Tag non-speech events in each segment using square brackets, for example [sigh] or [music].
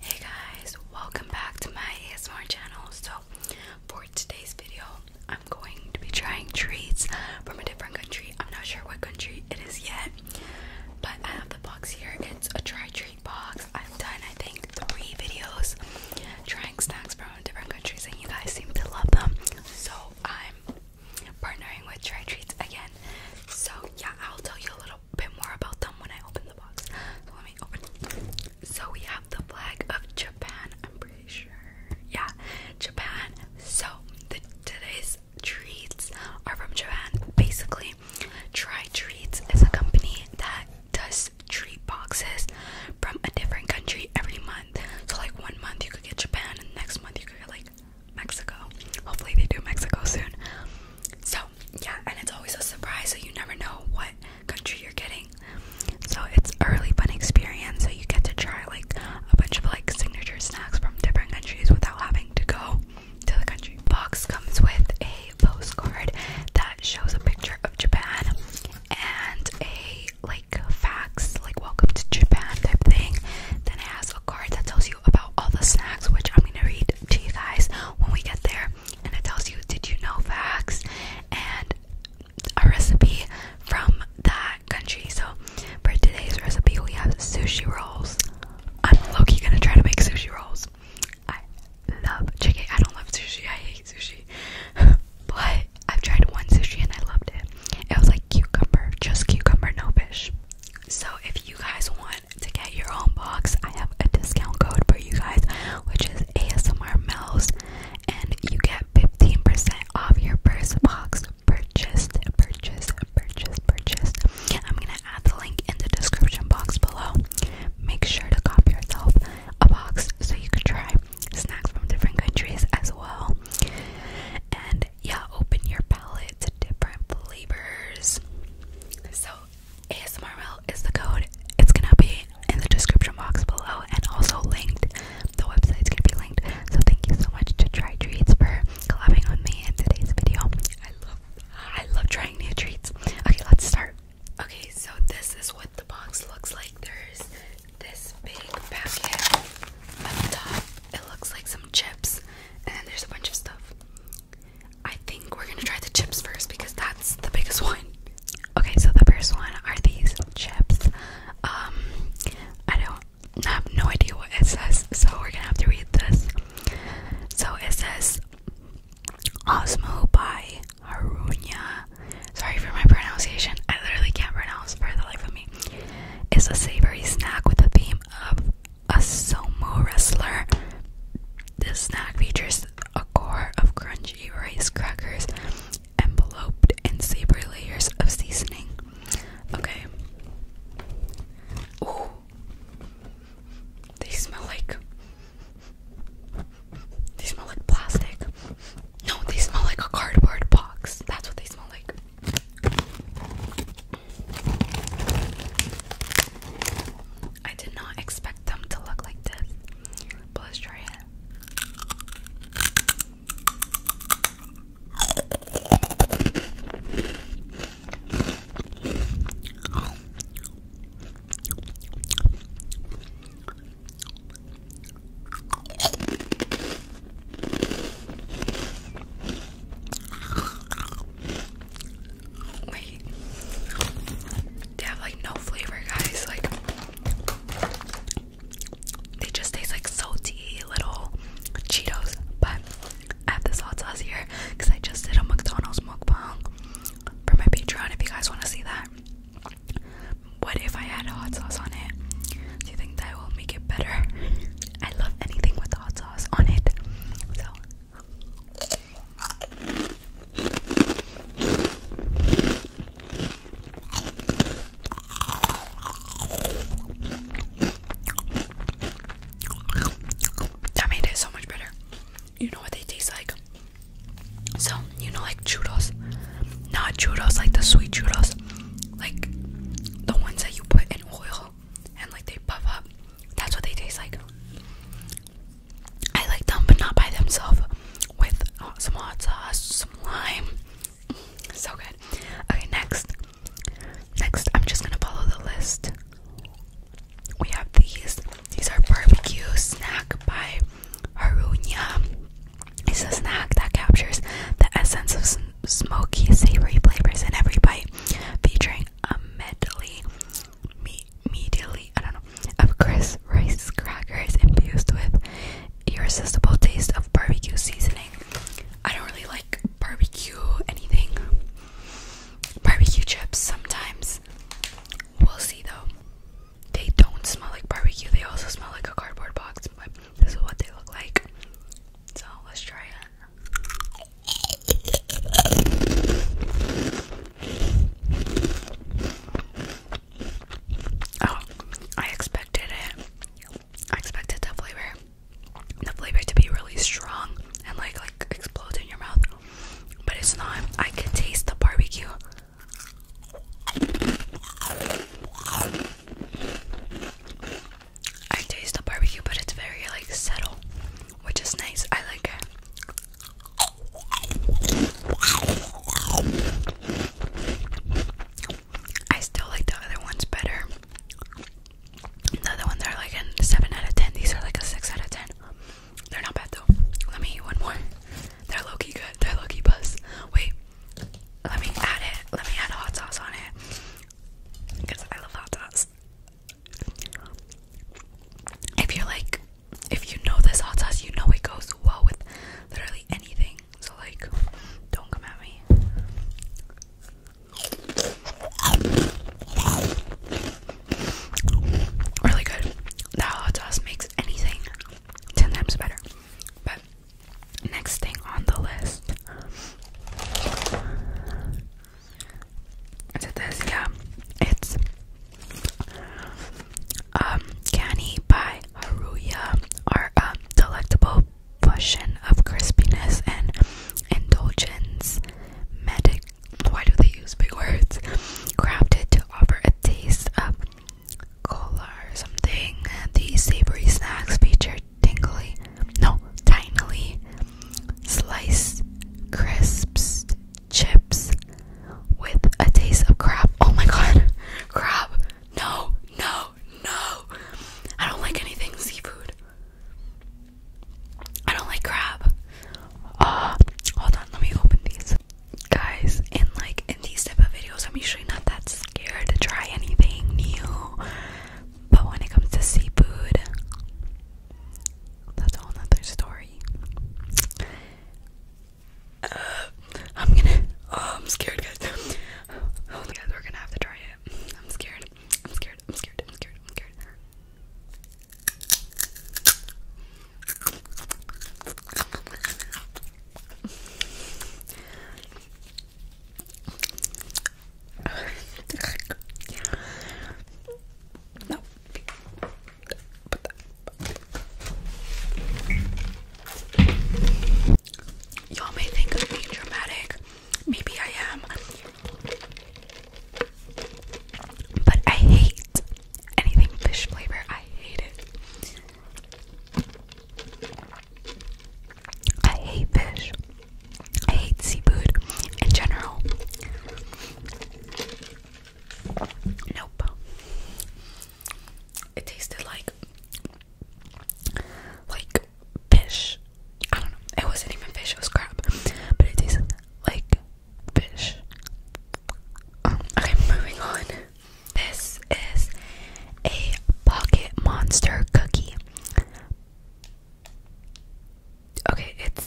Hey guys, welcome back to my ASMR channel. So, for today's video, I'm going to be trying treats from a different country. I'm not sure what country it is yet, but I have the box here. It's a try treat box. I've done, I think, three videos trying snacks from different countries, and you guys seem to love them. So, I'm partnering with Try Treats again. So, yeah, I'll tell you a little little bit more about them when I open the box. So let me open. So we have the flag of Japan. I'm pretty sure. Yeah, Japan. So the, today's treats are from Japan. Basically, Try Treats is a company that does treat boxes from a different country every month. So like one month you could get Japan, and next month you could get like Mexico. Hopefully they do Mexico soon. So yeah, and it's always a surprise, so you never know what country you're getting. So it's a really fun experience. So you get to try like a bunch of like signature snacks from different countries without having to go to the country. Box comes with a postcard that shows a picture of Japan and a like facts, like welcome to Japan type thing. Then it has a card that tells you about all the snacks, which I'm gonna read to you guys when we get there and it tells you did you know facts and a recipe from that country. So for today's recipe we have sushi rolls. I'm low gonna try to make sushi rolls. I love chicken. I don't love sushi, I hate sushi. [laughs] but I've tried one sushi and I loved it. It was like cucumber, just cucumber, no fish. So if you guys want to get your own box, I have a discount code for you guys, which is ASMR Mel's, and you get 15% off your first box purchased, purchased, purchased, purchased. I'm gonna add the link in the description box below. Make sure to cop yourself a box so you can try snacks from different countries as well. And yeah, open your palate to different flavors. So ASMRL is the code. It's gonna be in the description box below and also linked. The website's gonna be linked. So thank you so much to Try Treats for collabing on me in today's video. I love I love trying new treats. Okay, let's start. Okay, so this is what the box looks like. There's this big packet on the top. It looks like some chips and there's a bunch of stuff. I think we're gonna try the chips first because that's the biggest [laughs] one. Okay, so the first one are these chips. Um, I don't I have no idea what it says, so we're gonna have to read this. So it says Osmo by Harunya. Sorry for my pronunciation. I literally can't pronounce for the life of me. It's a savory snack with a theme of a sumo wrestler. This snack features a core of crunchy rice crackers enveloped in savory layers of seasoning. Okay. Ooh. They smell like they smell like plastic. No, they smell like a cardboard box. That's what they smell like. I did not expect them to look like this, but let's try it. Wait. They have like no flavor, guys. Like they just taste like salty little Cheetos. But I have this hot sauce here because I just did a McDonald's mukbang for my Patreon. If you guys want to see that, what if I had hot sauce on it? Do you think that will make it better? [laughs] I love anything with hot sauce on it. So that made it so much better. You know what they taste like. So, you know, like churros. Not churros, like the sweet churros. Like the ones that you put in oil and like they puff up. That's what they taste like. I like them, but not by themselves. With uh, some hot sauce, some lime. Mm, so good. Okay, next. Next, I'm just gonna follow the list. We have these. These are barbecue snack by Harunya. It's a snack that captures the essence of smoky, savory flavors in every bite, featuring doing a medley, me medley, I don't know, of crisp rice crackers infused with irresistible taste of barbecue seasoning. I don't really like barbecue anything. Barbecue chips sometimes. We'll see though. They don't smell like barbecue. They also smell like a cardboard box, but this is what they look like. So let's try it. Oh, I expected it. I expected the flavor, the flavor to be really strong and like like explode in your mouth, but it's not. I can taste the barbecue. I taste the barbecue, but it's very like subtle, which is nice. I like it. I still like the other ones better. The other ones are like a 7 out of 10. These are like a 6 out of 10. They're not bad though. Let me eat one more. They're low key good. They're low key buzz. Wait, let me add it. Let me add hot sauce on it. Because I love hot sauce. If you're like, if you know this hot sauce, you know it goes well with literally anything. So, like, don't come at me. Really good. That hot sauce makes anything 10 times better. But, next thing on the list it is, yeah. It's um canny by Haruya or um delectable fusion of crispiness and indulgence. Medic why do they use big words? Crafted to offer a taste of cola or something. These savory snacks feature tingly no, tinily sliced crisps chips with a taste of crab. Oh my god, [laughs] crab! No, no, no! I don't like anything seafood. I don't like crab. Uh, hold on, let me open these. Guys, in like in these type of videos, I'm usually not that scared to try anything new. But when it comes to seafood, that's a whole nother story. Uh, I'm gonna. Oh, I'm scared, guys. Oh, guys, we're gonna have to try it. I'm scared. I'm scared. I'm scared. I'm scared. Y'all may think I'm being dramatic. Maybe I am. But I hate anything fish flavor. I hate it. I hate fish. I hate seafood in general. Nope. It tasted like like fish. I don't know. It wasn't even fish, it was crab. But it tasted like fish. Um, okay, moving on. This is a pocket monster cookie. Okay, it's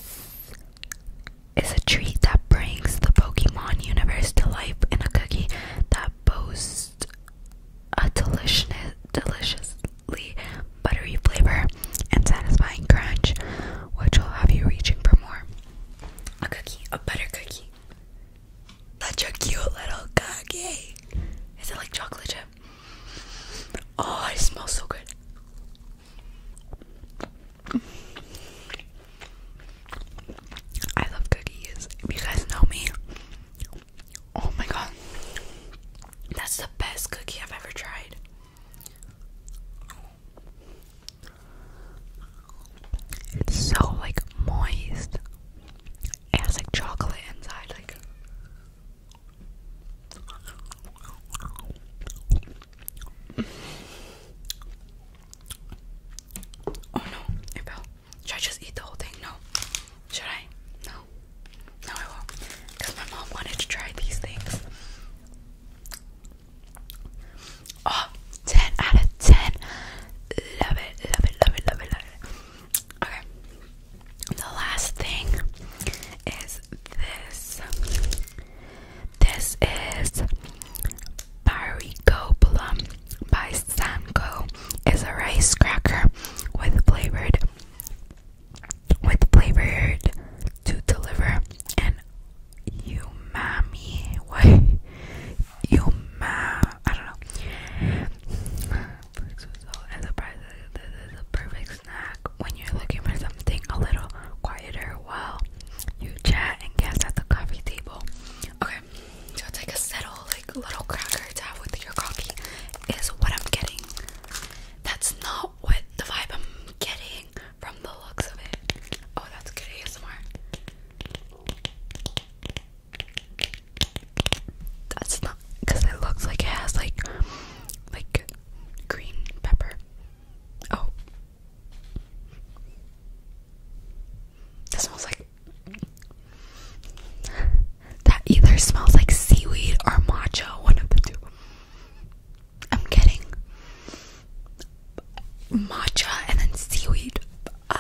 it's a treat that brings the Pokemon universe to life in a cookie that boasts a delicious, deliciously buttery flavor and satisfying crunch, which will have you reaching for more. A cookie, a butter cookie. Such a cute little cookie. Is it like chocolate chip? Oh, it smells so good. I love cookies. you guys know me, oh my god, that's the best cookie I've ever tried. It's so like moist. It has like chocolate inside, like Oh no, it Should I just eat the whole thing? No. Should I? No. No, I won't. Because my mom wanted to try these things. Oh, out of 10. Love it, love it, love it, love it, love it. Okay the last thing is this. This is Barico Plum by Sanko. It's a rice cracker with flavored with flavored to deliver and umami. What? Umami. I don't know. Netflix was so this is a perfect snack when you're looking for something a little quieter while you chat and guess at the coffee table. Okay, so it's like a subtle, like little cracker to with your coffee is what I'm getting. That's not what the vibe I'm getting from the looks of it. Oh, that's good ASMR. That's not because it looks like it has like like green pepper. Oh. That smells like. That either smells like seaweed or matcha, one of the two. I'm getting matcha and then seaweed. Uh,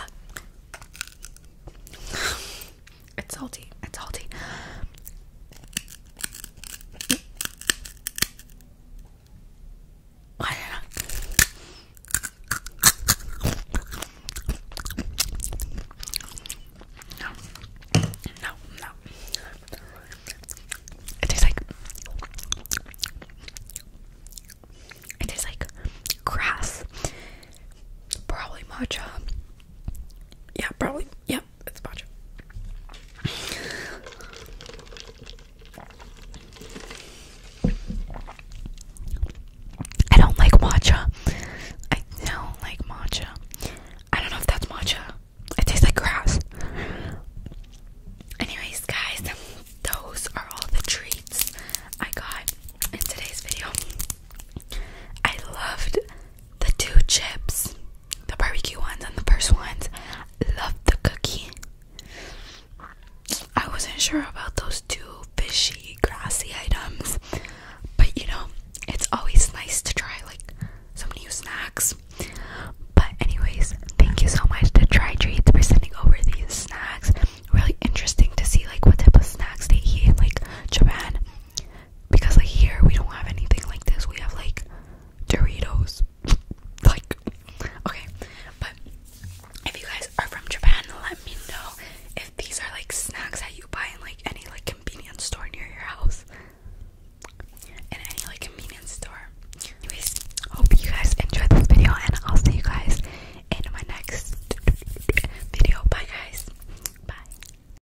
it's salty. It's salty. I don't know. No, no, It tastes like it tastes like grass. Probably matcha. Yeah, probably. Yeah, it's much. I don't like matcha. I don't like matcha. I don't know if that's matcha. It tastes like grass. Anyways, guys, those are all the treats I got in today's video. I loved the two chips, the barbecue ones and the first ones. Loved the cookie. I wasn't sure about those two fishy, grassy items, but you know, it's always nice to try like some new snacks. But, anyways, thank you so much to Try Treats for sending over these snacks. Really interesting to see like what type of snacks they eat like Japan because like here we don't have anything like this. We have like Doritos. [laughs] like okay, but if you guys are from Japan, let me know if these are like snacks that you buy in like any like convenience store near your house. In any like convenience store. Anyways, hope you guys enjoyed this video and I'll see you guys in my next video. Bye guys. Bye.